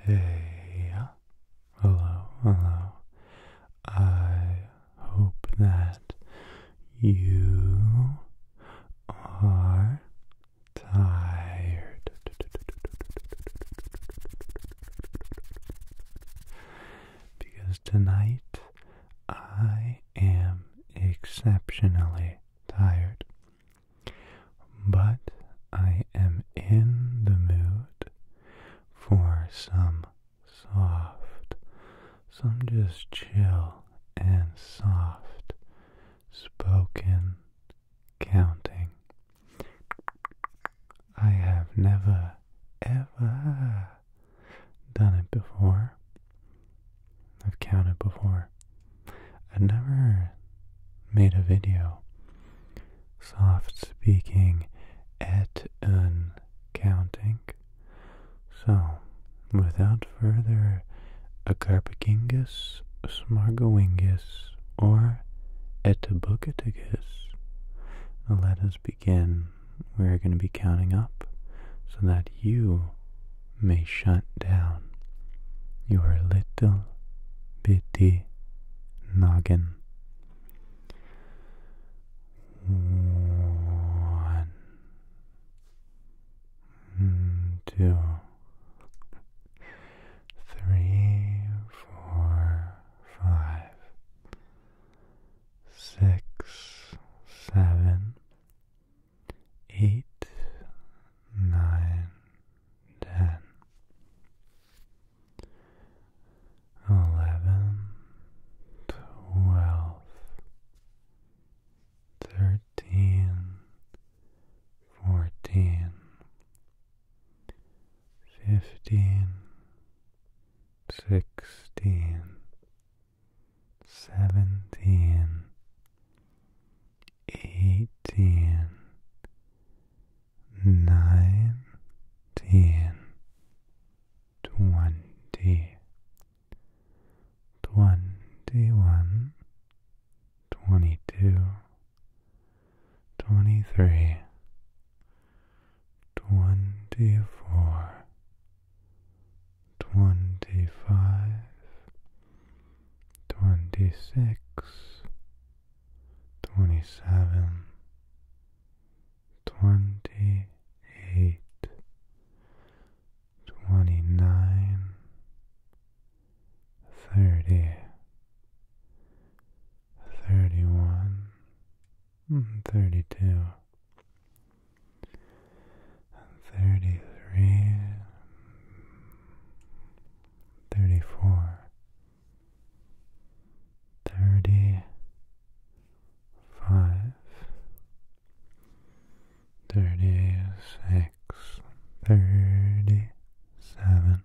Hey, hello, hello. I hope that you are tired. Because tonight I am exceptionally tired but I am in the mood for some soft, some just chill and soft spoken counting. I have never ever done it before. I've counted before. I've never made a video soft speaking et un counting. So, without further Acarpagingus, Smargoingus, or Etabukatagus, let us begin. We're going to be counting up so that you may shut down your little bitty noggin. One, two, three, four, five, six, seven, eight, nine, ten eleven, twelve, thirteen, fourteen, fifteen, sixteen, seventeen, eighteen nineteen, twenty, twenty one, twenty two, twenty three, twenty four, twenty five, twenty six twenty seven, twenty eight, twenty nine, thirty, thirty one, hmm, thirty two. Thirty three, thirty four, thirty five, thirty six, thirty seven,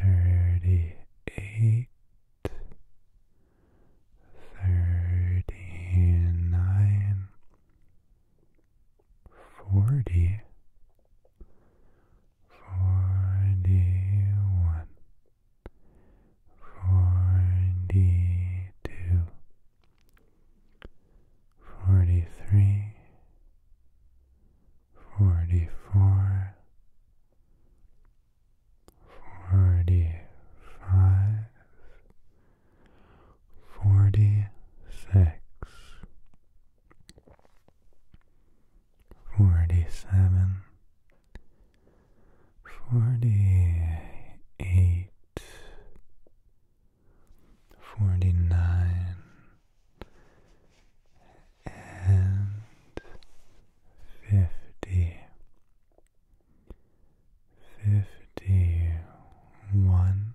thirty eight. Thirty nine, forty, forty one, forty two, forty three, forty four, forty five, forty six forty seven, forty eight, forty nine, and fifty. Fifty one,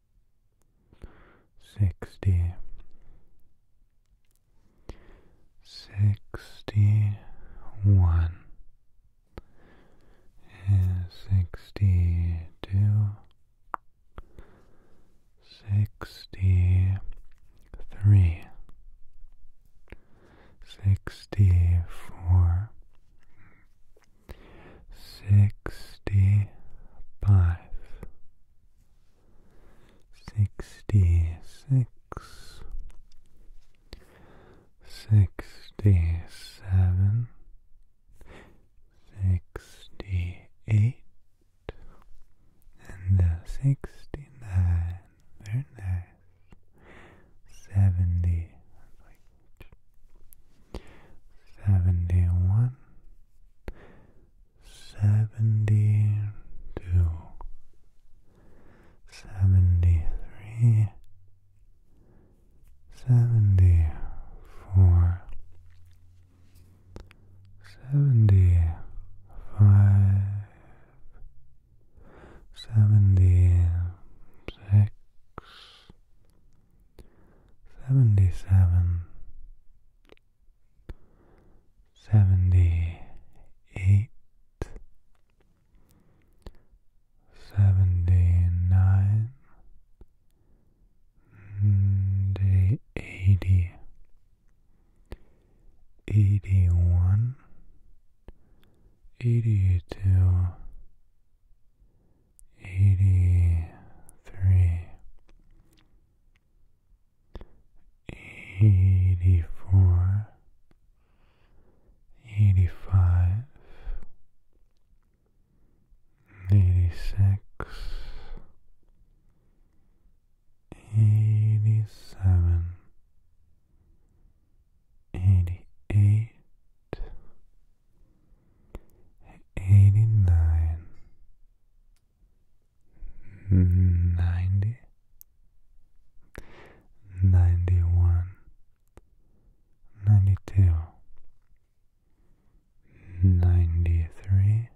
sixty, sixty one, sixty two, sixty three, sixty four sixty five, sixty six, sixty seven, sixty eight, and uh, sixty nine. Very nice. Seventy, seventy one, seventy two, seventy three, seventy four, seventy five, seventy six seventy seven, seventy eight, seventy nine, eighty, eighty one, eighty two. Eighty three, eighty four, eighty five, eighty six, eighty seven, eighty eight eighty nine, ninety, ninety one, ninety two, ninety three,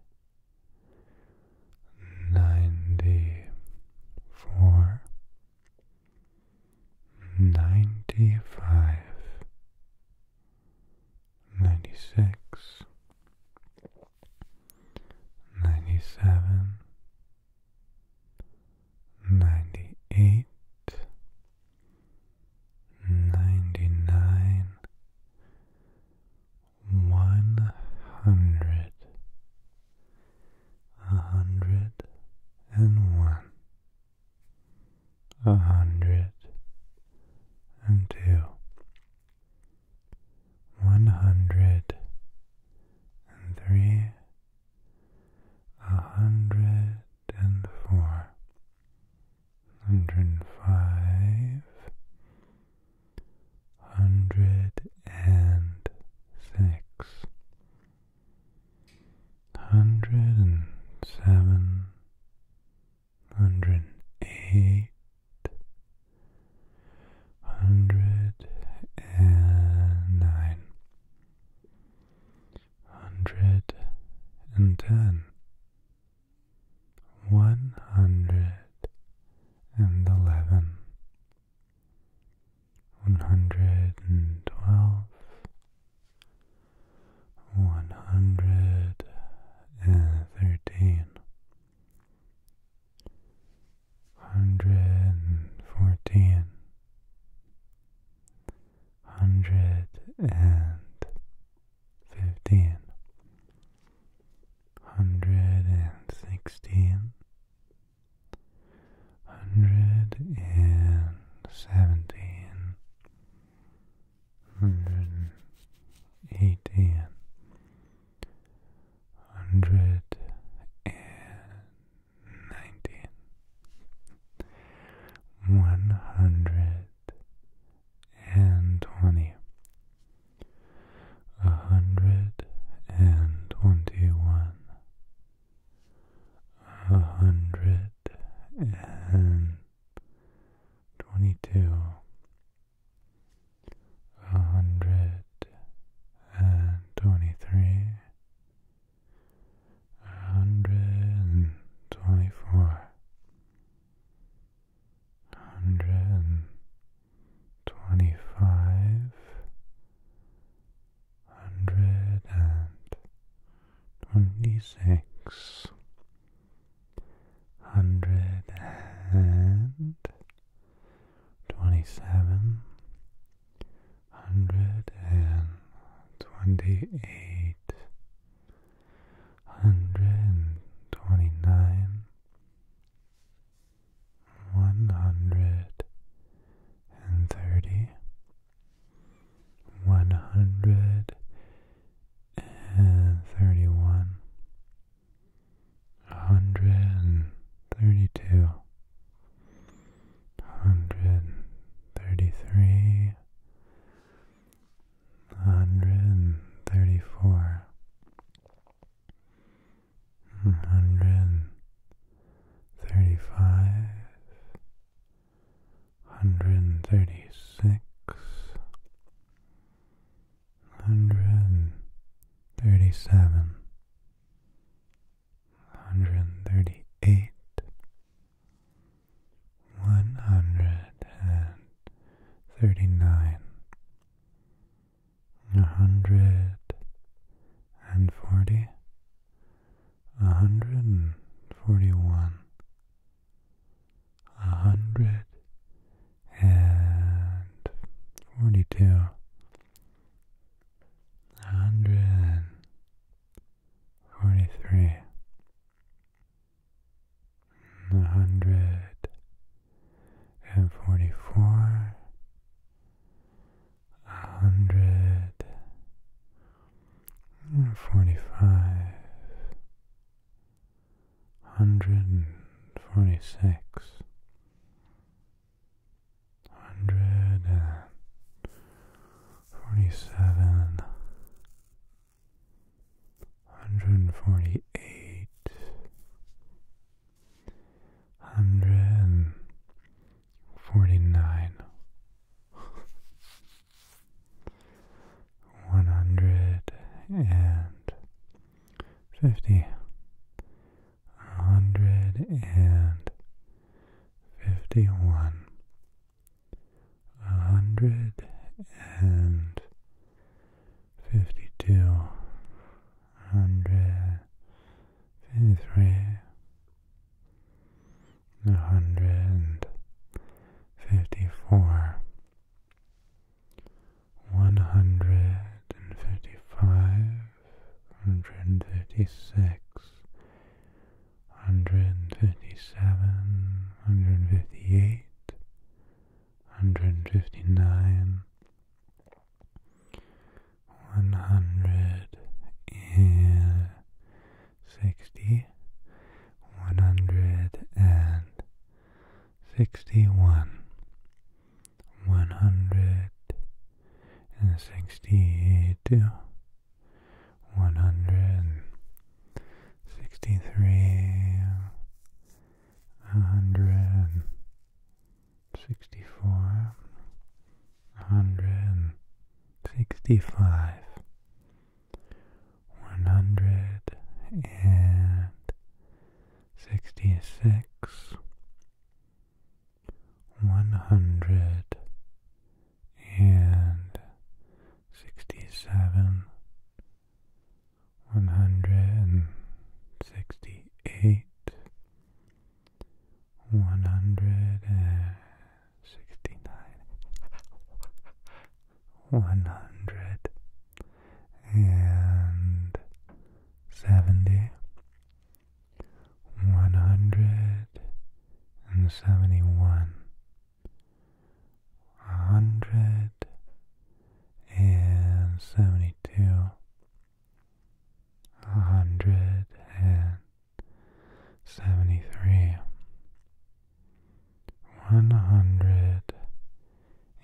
ninety four, ninety five ninety six, ninety seven, ninety eight, ninety nine, one hundred, a hundred and one a hundred and two, one hundred and three, a hundred and four, hundred and five, hundred and six, hundred and seven hundred eight, hundred and nine, hundred and ten, one hundred and eleven, one hundred and twelve one hundred and thirteen, hundred and fourteen, hundred and fifteen, hundred and sixteen, hundred and seventeen hundred and eighty and hundred and nineteen one hundred and twenty a hundred and twenty one a hundred and twenty-two, a hundred and twenty-three, a hundred and twenty-four, hundred and twenty-five, hundred and twenty-six hundred and twenty seven, hundred and twenty eight, hundred and twenty nine, one hundred and thirty, one hundred and thirty one, a hundred and thirty two, a hundred and thirty three, a hundred and thirty four, a hundred and thirty five. 136 hundred thirty seven, hundred thirty eight. One hundred and thirty nine, a hundred and forty, a hundred and forty one, a hundred and forty two, a hundred and forty three, a hundred and forty four, a hundred and forty five. Hundred and forty-six. Hundred and forty-seven. Hundred and forty-eight. Hundred and forty-nine. One hundred and fifty, one hundred and fifty, one hundred and fifty-one, one hundred and fifty-two, hundred fifty-three, one hundred fifty-four one hundred and fifty five, hundred and fifty six, hundred and fifty seven, hundred and fifty eight, hundred and fifty nine, one hundred and sixty, one hundred and sixty-one, one hundred and sixty-two, one hundred and sixty-three, hundred sixty-four, hundred sixty-five, one hundred and sixty six, one hundred and sixty seven, one hundred and sixty eight, one hundred and sixty nine one hundred and seventy, one hundred and seventy one, a hundred and seventy two, a hundred and seventy three one hundred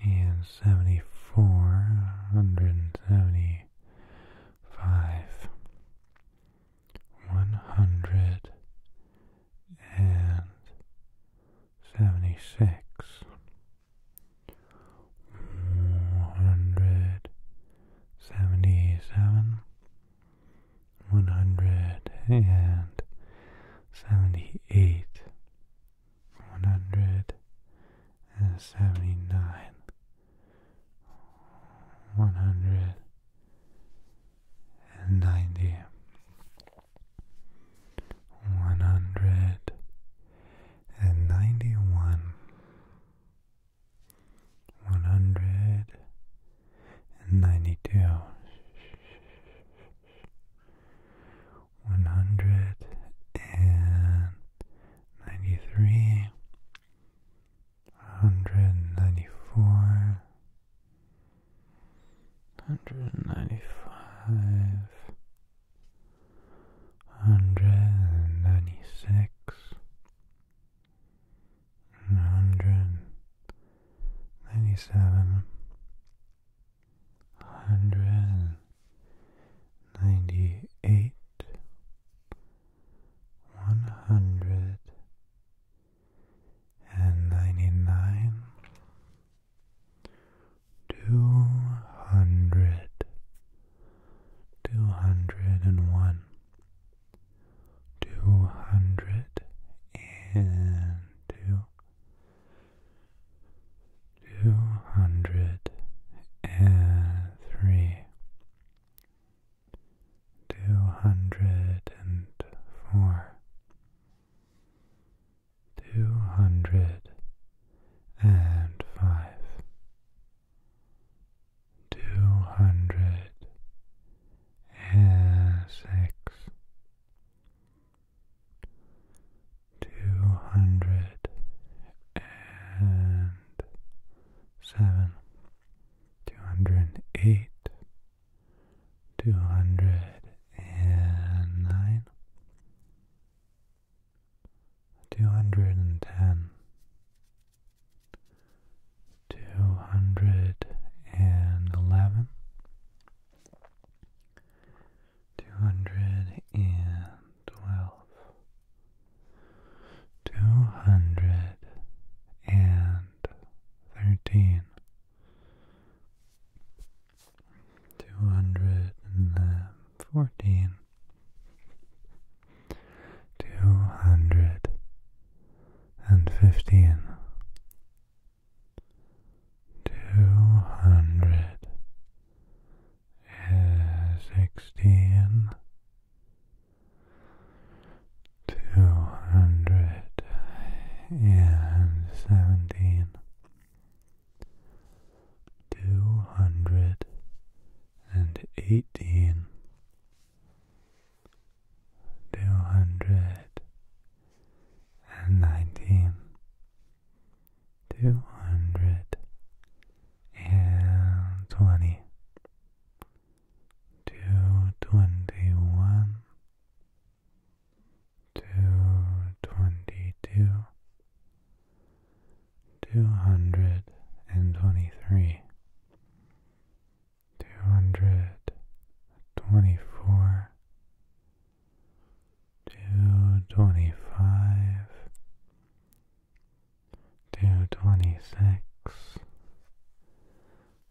and seventy four, hundred and seventy five, one hundred and seventy six, one hundred seventy seven, one hundred and seventy eight one hundred and seventy nine, one One hundred and ninety. One hundred and ninety-one. ninety one, one hundred and ninety two one hundred and ninety three, one hundred ninety four, one hundred ninety five, one hundred ninety six, one hundred ninety seven hundred ninety eight, one hundred and ninety nine, two hundred, two hundred and one, two hundred and two two hundred and three, two hundred and four, two hundred and five, two hundred and six two hundred and seven, two hundred and eight, two hundred and nine, two hundred and ten. Two hundred and eleven, Two hundred and twelve. Two hundred and thirteen. Two hundred two hundred and twelve, two hundred and thirteen, two hundred and fourteen. Two hundred and fifteen, two hundred sixteen two hundred and seventeen two hundred and eighteen two hundred and nineteen Two hundred and twenty. Two twenty-one. two twenty one, two twenty two, two hundred and twenty three. Two hundred twenty four, Two twenty-five. Two twenty-six.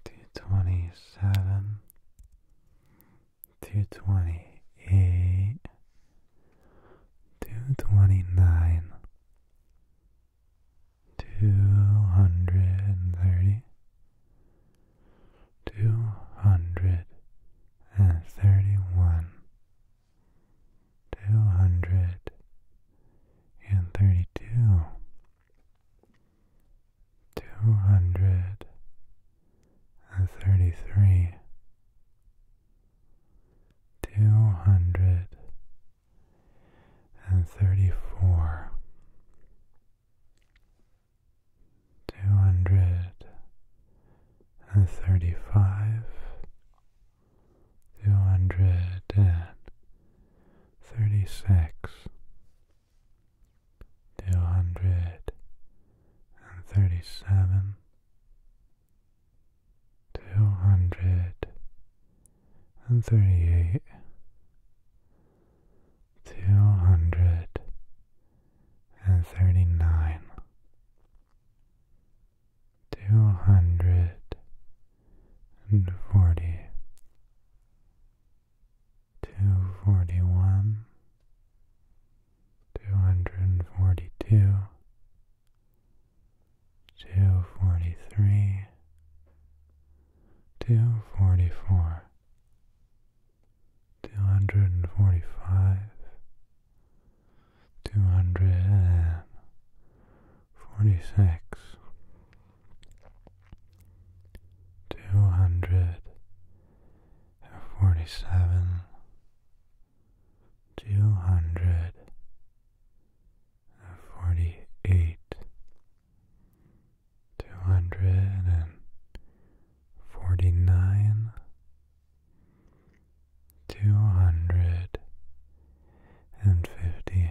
Two twenty-seven. Two twenty-eight. Two twenty-nine. Two hundred and thirty, two hundred and thirty one, two hundred and thirty two, two hundred and thirty three, two hundred and thirty four two hundred and thirty five, two hundred and thirty six, two hundred and thirty seven, two hundred and thirty eight. Two hundred and thirty nine, two hundred and forty, two forty one, two hundred and forty two, two forty three, two forty four. Two hundred and forty five, two hundred and forty six, two hundred and forty seven, two hundred and forty eight, two hundred and forty nine, two hundred and fifty,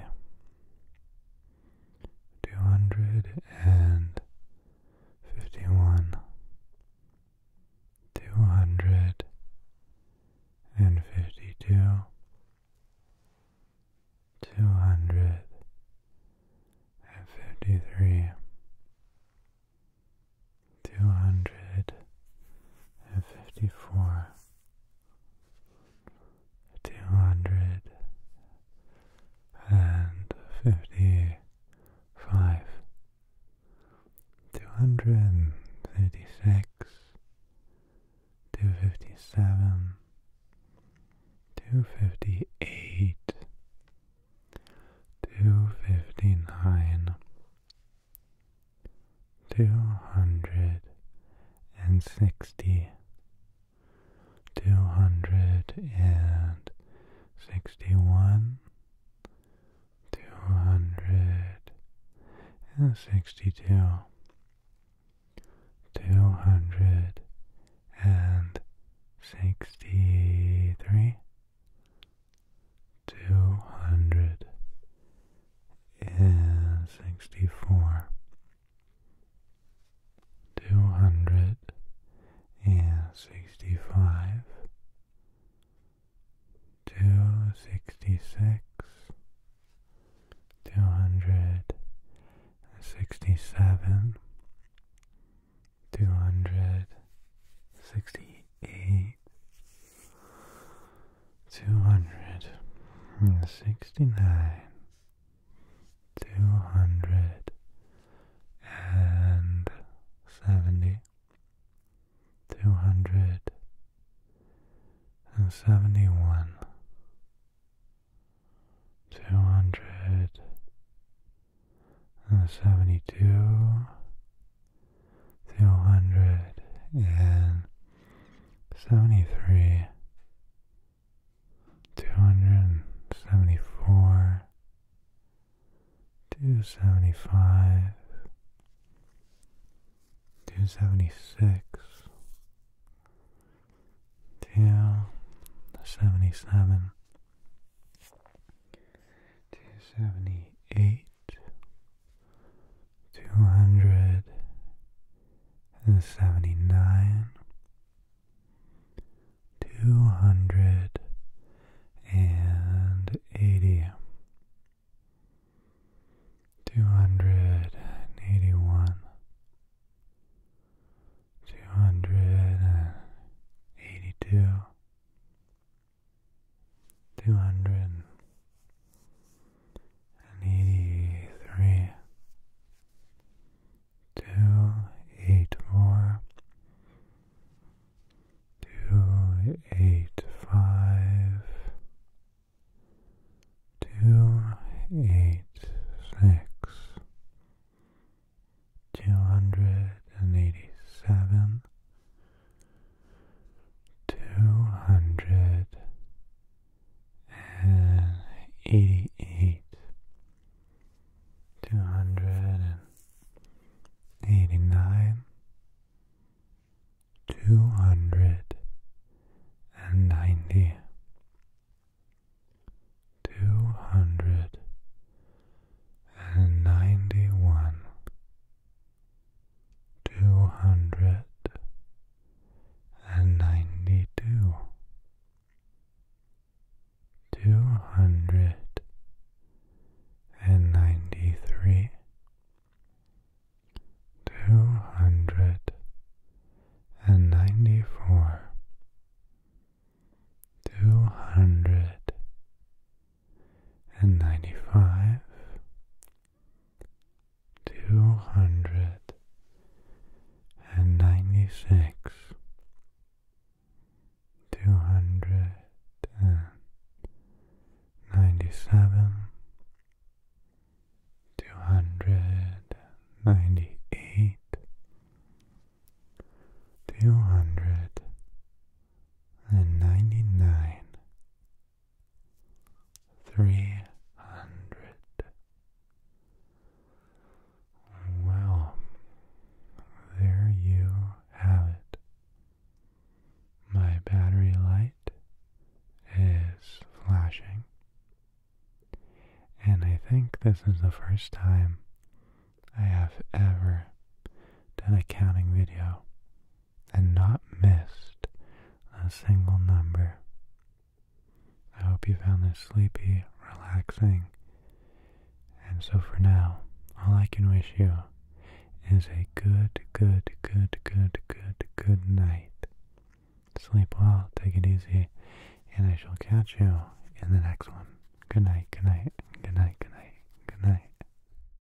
two hundred and fifty one, two hundred and fifty two. Two hundred and fifty three, two hundred and fifty four, two hundred and fifty five, two hundred and fifty six, two fifty seven, two fifty eight two fifty nine, two hundred hundred and sixty. Two hundred and sixty one. Two one, two hundred and sixty two, two hundred and sixty three two hundred and sixty four, two hundred and sixty five, two sixty six, two hundred and sixty-seven. Two hundred sixty-eight eight, two hundred and sixty nine, two hundred and seventy, two hundred and seventy one, two hundred and seventy two two hundred and seventy three, two hundred and seventy four, two seventy five, two seventy six, two seventy seven, two seventy eight two hundred and seventy nine, two hundred and eighty, two hundred and eighty one, two hundred and eighty two two hundred and eighty three, two eight four, two eight five, two eight six, two hundred and eighty seven. 285 286 two hundred and eighty eight, two hundred and eighty nine, two hundred and ninety. Two hundred and ninety one, two hundred and ninety two, two hundred and ninety three, two hundred and ninety four, two hundred and ninety five, two hundred and ninety six, two hundred and ninety seven, two hundred and ninety eight. Two hundred and ninety nine, three hundred. Well, there you have it. My battery light is flashing, and I think this is the first time I have ever done a counting video and not missed a single number. I hope you found this sleepy, relaxing. And so for now, all I can wish you is a good, good, good, good, good, good night. Sleep well, take it easy, and I shall catch you in the next one. Good night, good night, good night, good night, good night.